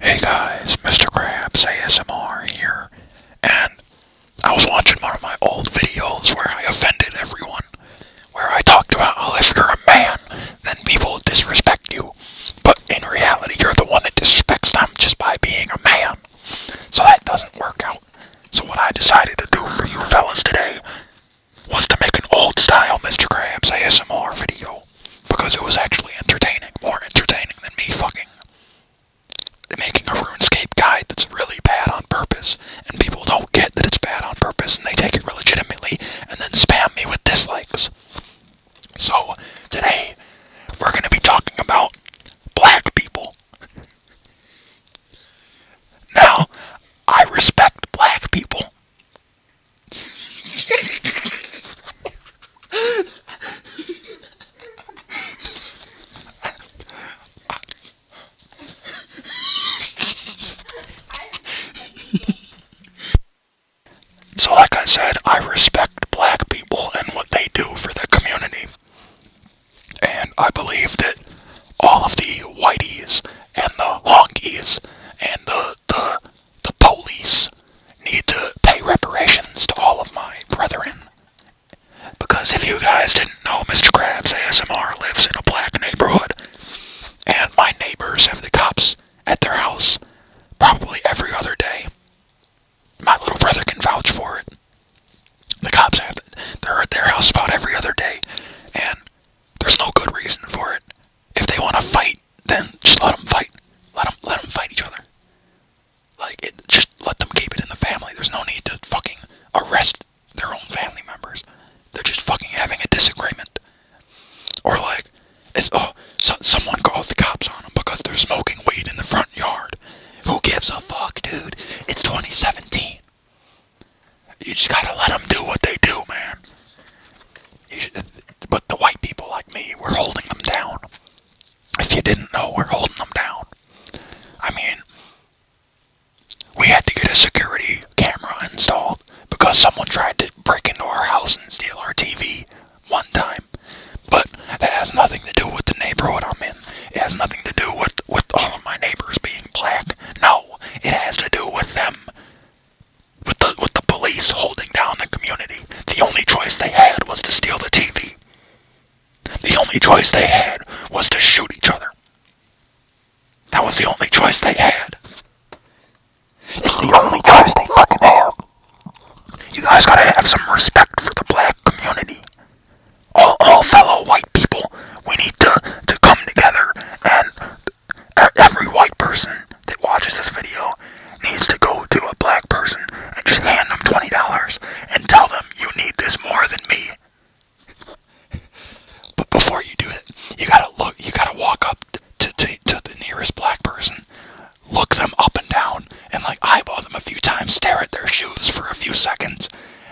Hey guys, Mr. Krabs ASMR here, and I was watching one of my old videos where I offended everyone, where I talked about how if you're a man, then people disrespect you, but in reality you're the one that disrespects them just by being a man, so that doesn't work out. So what I decided to do for you fellas today was to make an old-style Mr. Krabs ASMR video because it was actually entertaining, more entertaining than me fucking making a RuneScape guide that's really bad on purpose, and people don't get that it's bad on purpose, and they take it legitimately, and then spam me with dislikes. So, today, we're gonna be talking about black people. Now, I respect black people. so like I said, I respect black people and what they do for the community. And I believe that all of the whiteys and the honkies and the the the police need to pay reparations to all of my brethren. Because if you guys didn't know, Mr. Krabs ASMR lives in a black neighborhood. And my neighbors have the cops at their house probably every other day. My little brother can vouch for it. The cops have they're at their house about every other day, and there's no good reason for it. If they want to fight, then just let them fight. Let them let them fight each other. Like it, just let them keep it in the family. There's no need to fucking arrest their own family members. They're just fucking having a disagreement. Or like, it's oh, someone called the cops on them because they're smoking weed in the front yard. Who gives a fuck, dude? It's 2017. You just gotta let them do what they do, man. Should, but the white people like me, we're holding them down. If you didn't know, we're holding them down. I mean, we had to get a security camera installed because someone tried to break into our house and steal our TV one time. But that has nothing to do with the neighborhood I'm in. It has nothing to do with, with all of my neighbors being black. No, it has to do with them. With the with the police holding down the community. The only choice they had was to steal the TV. The only choice they had was to shoot each other. That was the only choice they had. It's the only choice they fucking have. You guys gotta have some respect for the black community. All, all fellow white people we need to, to come together and every white person that watches this video needs to go to a black person and just hand them $20 and tell them you need this more than me. But before you do it, you gotta look, you gotta walk up to, to, to the nearest black person, look them up and down, and like eyeball them a few times, stare at their shoes for a few seconds,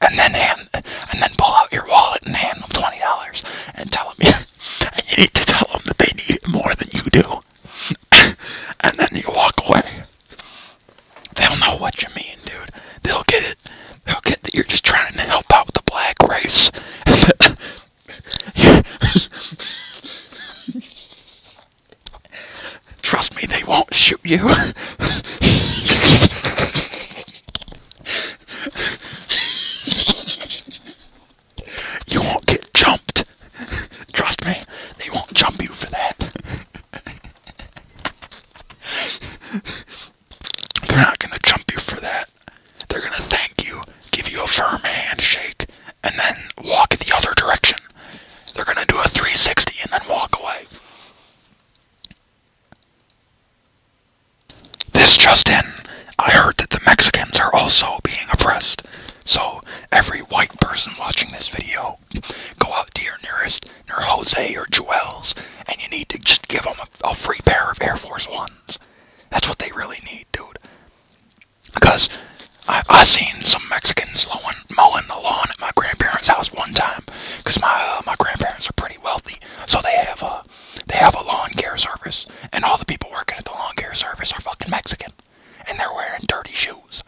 and then hand, and then pull out your wallet and hand them twenty dollars and tell them you, need to tell them that they need it more than you do, and then you walk away. They'll know what you mean, dude. They'll get it. They'll get that you're just trying to help out the black race. Trust me, they won't shoot you. you won't get jumped. Trust me, they won't jump you for that. They're not gonna jump you for that. They're gonna thank you, give you a firm handshake, and then walk the other direction. They're gonna do a 360 and then walk away. This just in, I heard that the Mexicans are also being oppressed. So, every white person watching this video, go out to your nearest, near Jose or Jewel's, and you need to just give them a, free pair of Air Force Ones. That's what they really need, dude. Because I, I seen some Mexicans low mowing the lawn at my grandparents' house one time because my uh, my grandparents are pretty wealthy, so they have a uh, they have a lawn care service, and all the people working at the lawn care service are fucking Mexican, and they're wearing dirty shoes.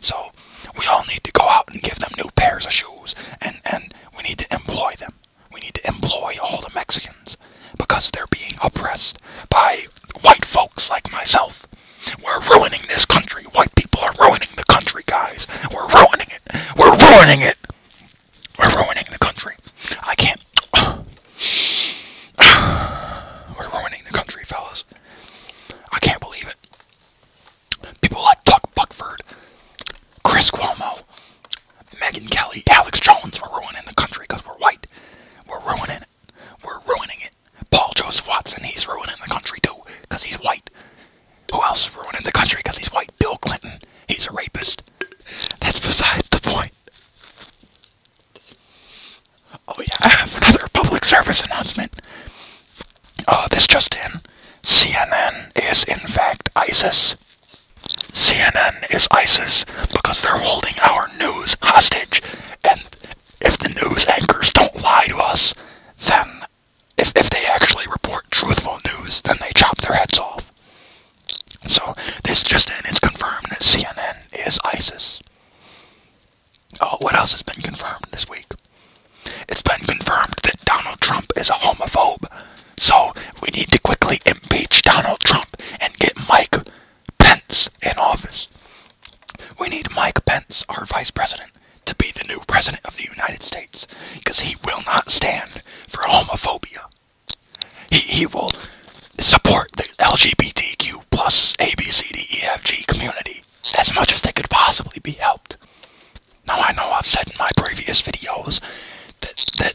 So we all need to go out and give them new pairs of shoes, and and we need to employ them. We need to employ all the Mexicans because they're being oppressed by white folks like myself we're ruining this country. White people are ruining the country, guys. We're ruining it. We're ruining it. We're ruining the country. I can't. We're ruining the country, fellas. I can't believe it. People like Doug Buckford, Chris Cuomo, Megan Kelly, Alex Jones, we're ruining the country because we're white. We're ruining it. We're ruining it. Paul Joseph Watson, he's ruining the country too, because he's white. Who else is ruining the country because he's white? Bill Clinton, he's a rapist. That's beside the point. Oh yeah, I have another public service announcement. Oh, this just in. CNN is in fact ISIS. CNN is ISIS because they're holding our news hostage and if the news anchors don't lie to us, then if, if they actually report truthful news, then they chop their heads off. So this just in, it's confirmed that CNN is ISIS. Oh, what else has been confirmed this week? It's been confirmed that Donald Trump is a homophobe. So we need to quickly impeach Donald Trump and get Mike Pence in office. We need Mike Pence, our vice president, to be the new president of the United States because he will not stand for homophobia. He, he will support the LGBTQ plus ABCDEFG community as much as they could possibly be helped. Now I know I've said in my previous videos that, that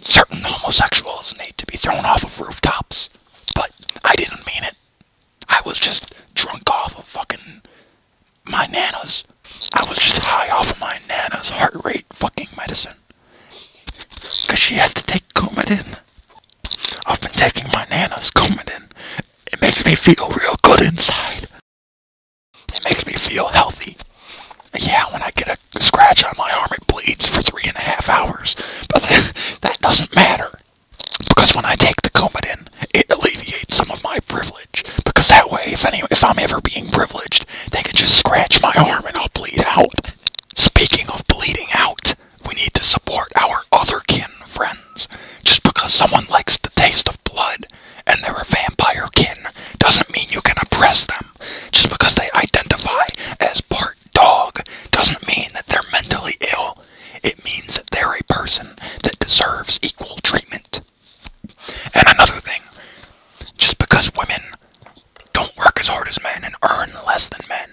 certain homosexuals need to be thrown off of rooftops, but I didn't mean it I was just drunk off of fucking my nana's. I was just high off of my nana's heart rate fucking medicine. Cause she has to take Coumadin. I've been taking my nana's Coumadin. It makes me feel real good inside. It makes me feel healthy. Yeah, when I get a scratch on my arm, bleeds for three and a half hours. But that, that doesn't matter. Because when I take the Coumadin, it alleviates some of my privilege. Because that way, if, any, if I'm ever being privileged, they can just scratch my arm and I'll bleed out. Speaking of bleeding out, we need to support our other kin friends. Just because someone likes the taste of blood and they're a vampire kin doesn't mean you can oppress them. Just because they identify as part dog doesn't mean that they're mentally ill. It means that they're a person that deserves equal treatment. And another thing, just because women don't work as hard as men and earn less than men,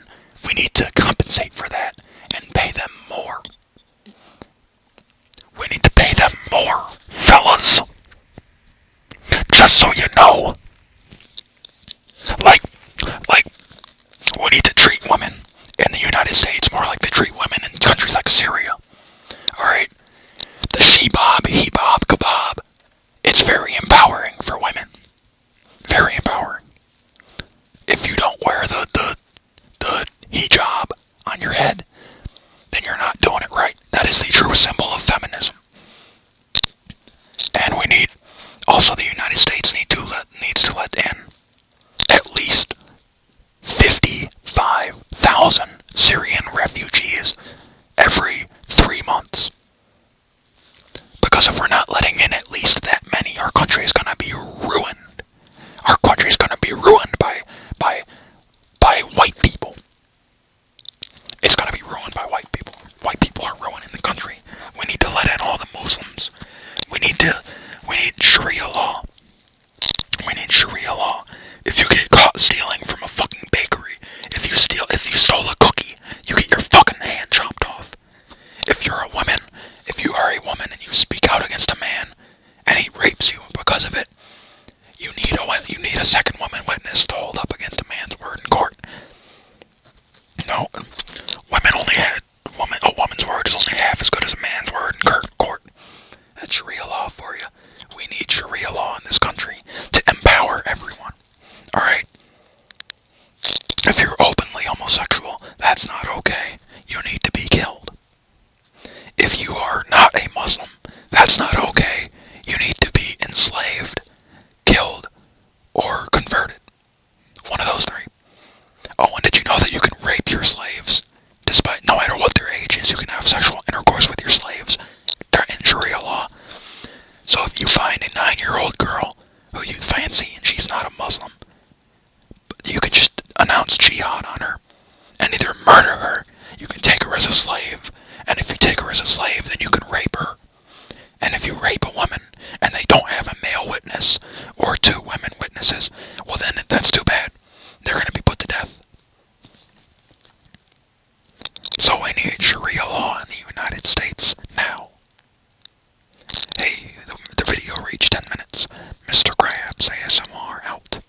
we need to compensate for that and pay them more. We need to pay them more, fellas. Just so you know. Like, like, we need to treat women in the United States more like they treat women in countries like Syria. Alright? The she-bob, he-bob, kebab. It's very empowering for women. Very empowering. If you don't wear the, the, the hijab on your head, then you're not doing it right. That is the true symbol of feminism. And we need, also the United States need to let, needs to let in at least 55,000 Syrian refugees every three months. Because if we're not letting in at least that many, our country is gonna be ruined. Our country is gonna be ruined by, by, by white people. It's gonna be ruined by white people. White people are ruining the country. We need to let in all the Muslims. We need to. We need Sharia law. We need Sharia law. If you get caught stealing from a fucking bakery, if you steal, if you stole a cookie, you get your fucking hand chopped off. If you're a woman, if you are a woman and you speak out against a man, and he rapes you because of it, you need a you need a second woman witness to hold up against a man's word in court. No, women only had woman a woman's word is only half as good as a man's word in court. That's Sharia law for you. We need Sharia law in this country to empower everyone. All right. If you're openly homosexual, that's not okay. You need to be killed. If you are not a Muslim, that's not okay. You need to be enslaved, killed, or converted. One of those three. Oh, and did you know that you can rape your slaves? Despite no matter what their age is, you can have sexual intercourse with your slaves. They're in Sharia law. So if you find a nine year old girl who you fancy and she's not a Muslim, you can just announce jihad on her and either murder her, you can take her as a slave, and if you take her as a slave, then you can rape her. And if you rape a woman and they don't have a male witness or two women witnesses, well then that's too bad. They're going to be put to death. So we need Sharia law in the United States now. Hey, the video reached 10 minutes. Mr. Krabs ASMR out.